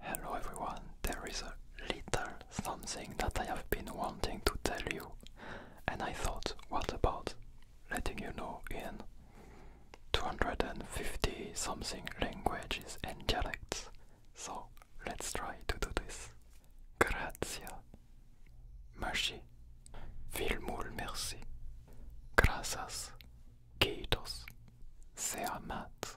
Hello everyone, there is a little something that I have been wanting to tell you, and I thought, what about letting you know in 250 something languages and dialects? So let's try to do this. Grazie. Merci. Vilmul merci. Gracias. Kiitos. Se amat.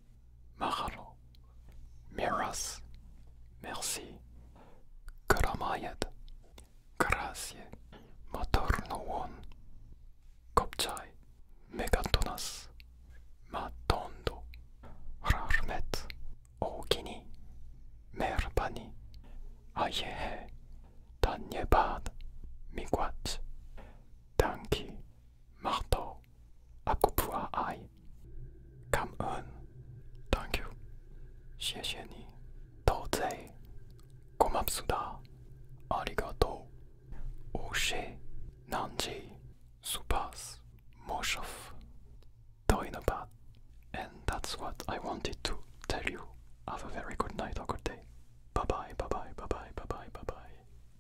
Mahalo. Miras. Merci. Karamayed. Grazie. Matorno Kopchai. Megatonas. Matondo. Rarmet. Ogini. Merbani. Ayehe. Tanyebad. Miquat. Tanki. Marto, Akupua ai. Come on. Thank you. 谢谢你。到在。고맙습니다. 아리가토. 오쉐. 난지. 수파스. 모셔프. 더이너밭. And that's what I wanted to tell you. Have a very good night or good day. Bye bye, bye bye, bye bye, bye bye, bye bye.